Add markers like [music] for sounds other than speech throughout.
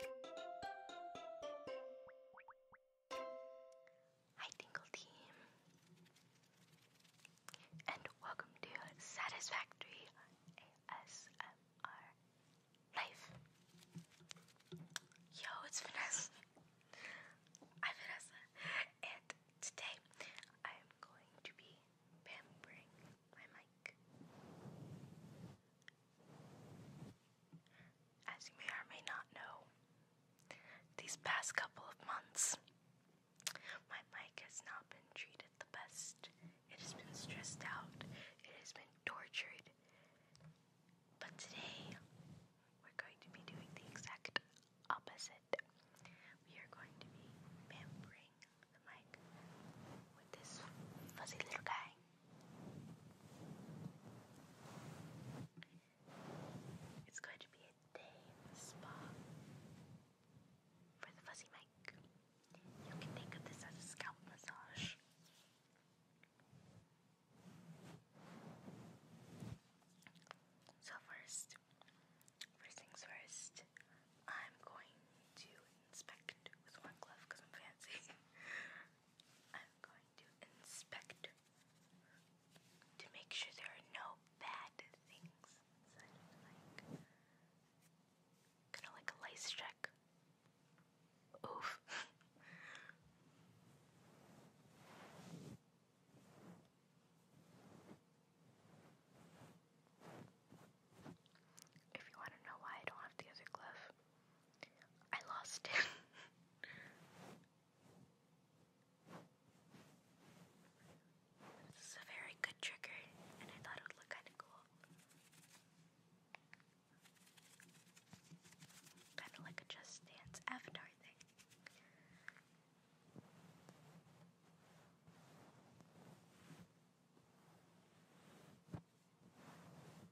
Hi, Tingle Team, and welcome to Satisfactory ASMR Life. Yo, it's Vanessa. I'm Vanessa, and today I am going to be pampering my mic. As you may or may not know, these past couple of months, my mic has not been treated the best. It has been stressed out, it has been tortured. But today, we're going to be doing the exact opposite. We are going to be pampering the mic with this fuzzy little guy. It's going to be a day in the spa for the fuzzy mic. You can think of this as a scalp massage. So first, first things first, I'm going to inspect with one glove because I'm fancy. [laughs] I'm going to inspect to make sure there are no bad things. kind of like a lice check. Oof. [laughs] if you want to know why I don't have the other glove, I lost it. this a very good trigger, and I thought it would look kind of cool. Kind of like a Just Dance avatar thing.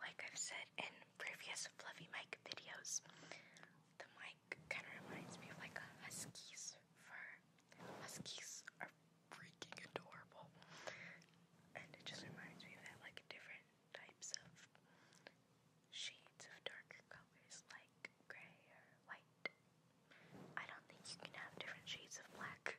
Like I've said in previous Fluffy Mike videos, the mic kind of reminds me of like a husky's fur. Huskies are freaking adorable. And it just reminds me of like different types of shades of darker colors, like gray or white. I don't think you can have different shades of black.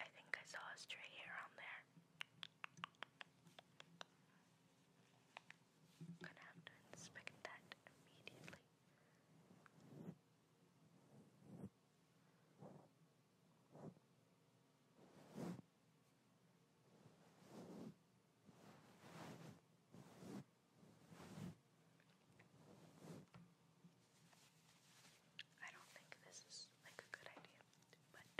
I think I saw a stray hair on there. gonna have to inspect that immediately. I don't think this is like a good idea, but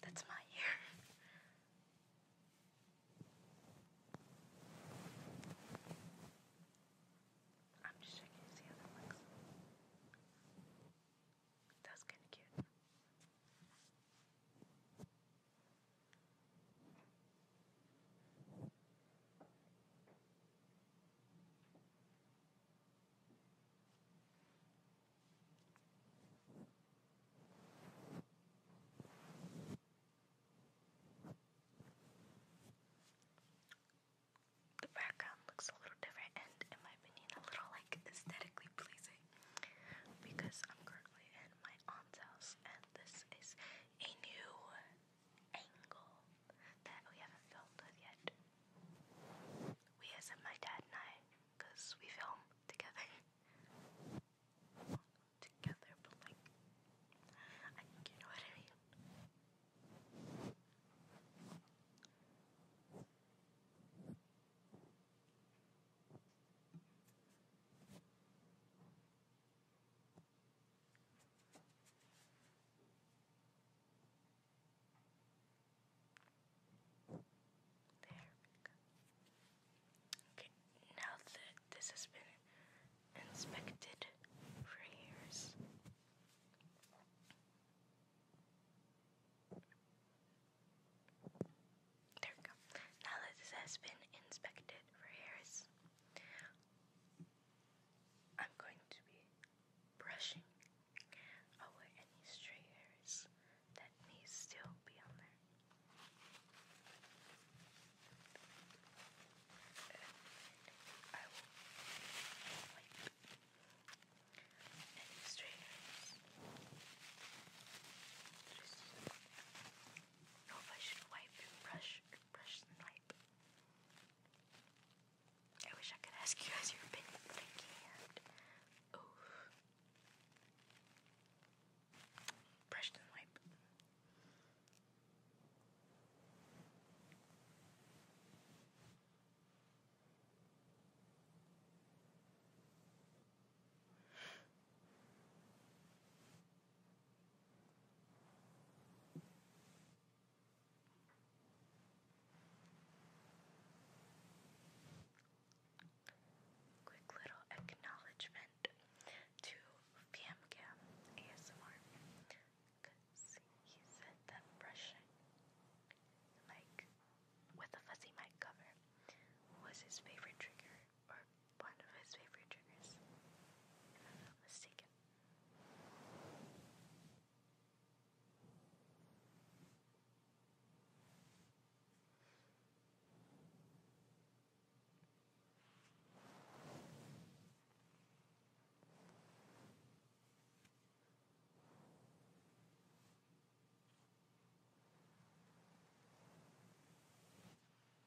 that's my ear. I'm just checking to see how that looks. That's kind of cute. The background looks a little different and, in my opinion, a little like aesthetically pleasing because I'm currently in my aunt's house and this is a new angle that we haven't filmed with yet. We as in my dad and I, we film together. [laughs] together, but like, I think you know what I mean. There Okay, now that this has been inspected for years. There we go. Now that this has been inspected for hairs, I'm going to be brushing away any stray hairs that may still be on there. I will wipe any stray hairs. do I should wipe and brush brush, brush snipe. I wish I could ask you guys your opinion, but I can't. Ooh. and wipe. Quick little acknowledgement to PMCam ASMR he said that brushing like with a fuzzy mic cover was his favorite trigger or one of his favorite triggers, I'm mistaken.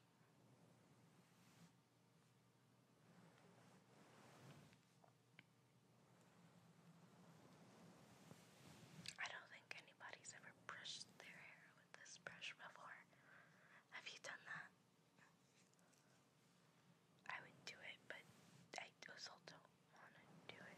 I don't think anybody's ever brushed their hair with this brush before. Have you done that? I would do it, but I also don't want to do it.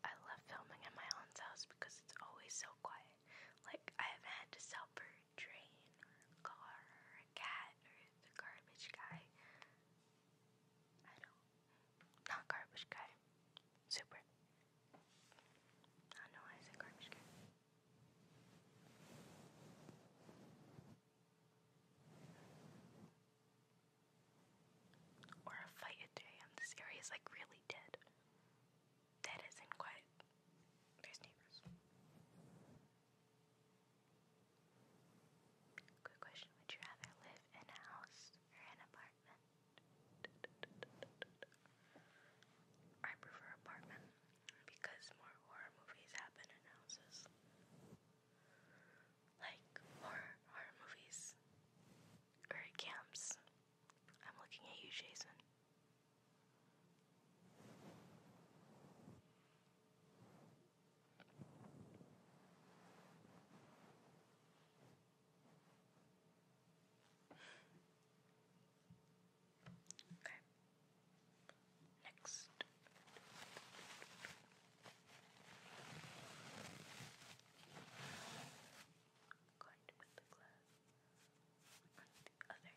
I love filming at my aunt's house because it's always so quiet. Like, I haven't had to sell for a car cat or the garbage guy. I don't. Not garbage guy. Super. I know I said garbage can. Or a fight at 2 a.m. This area is like really dead. That isn't quiet. There's neighbors. Good question. Would you rather live in a house or an apartment? I prefer apartment because more horror movies happen in houses. Like horror movies or camps. I'm looking at you, Jason. Okay. Next. on the other hand.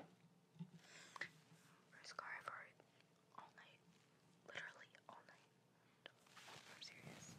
We're scarred for all night. Literally all night. I'm serious.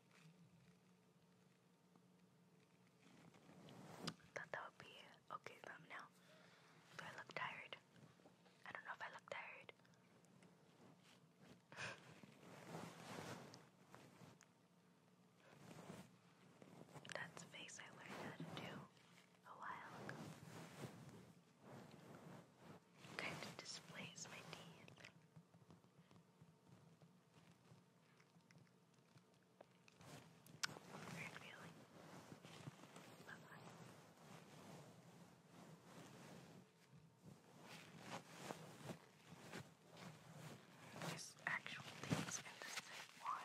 Thought that would be okay thumbnail. Do I look tired? I don't know if I look tired. That's face I learned how to do a while ago. Kind of displays my teeth. Weird feeling. Love There's actual things in this thing. Why?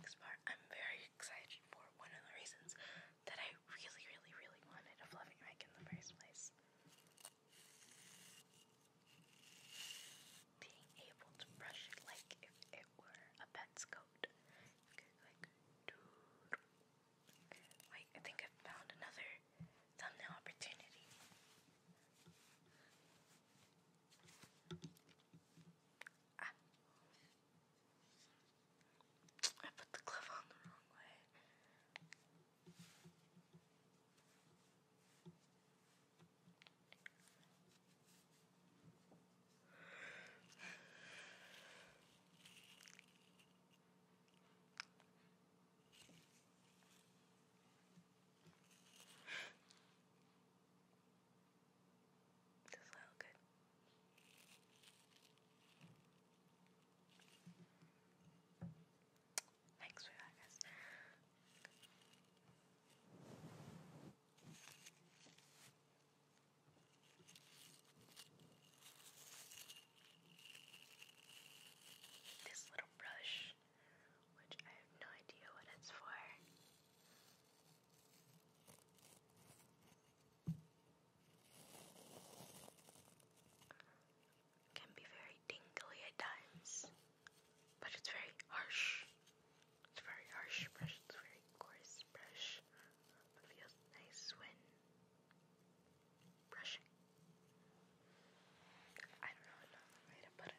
Next part, I'm very excited for one of the reasons that I really, really, really wanted a fluffy mic in the first place being able to brush it like if it were a pet's coat. Wait, I think I found another thumbnail opportunity. Ah. I put the glove on the wrong way. Does that good? Thanks for that, guys. This little brush, which I have no idea what it's for. Can be very tingly at times but it's very harsh. It's very harsh brush, it's very coarse brush, but feels nice when brushing. I don't know another way to put it.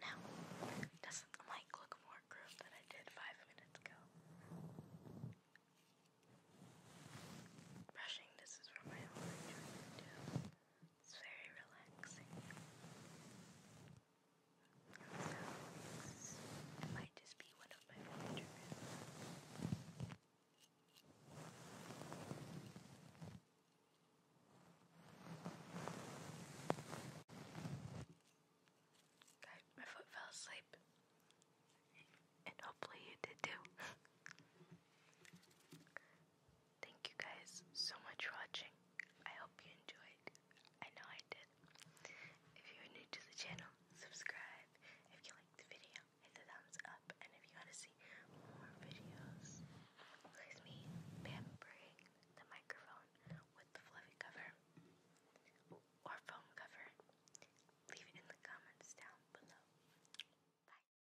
Now, doesn't the mic look more grooved than I did five minutes ago? Brushing, this is for my own enjoyment too. It's very relaxing. So, it might just be one of my favorite rooms. Okay, my foot fell asleep. And hopefully you did too. Thank you guys so much for watching. I hope you enjoyed. I know I did. If you're new to the channel, subscribe. If you like the video, hit the thumbs up. And if you want to see more videos, there's me pampering the microphone with the fluffy cover or foam cover. Leave it in the comments down below. Bye.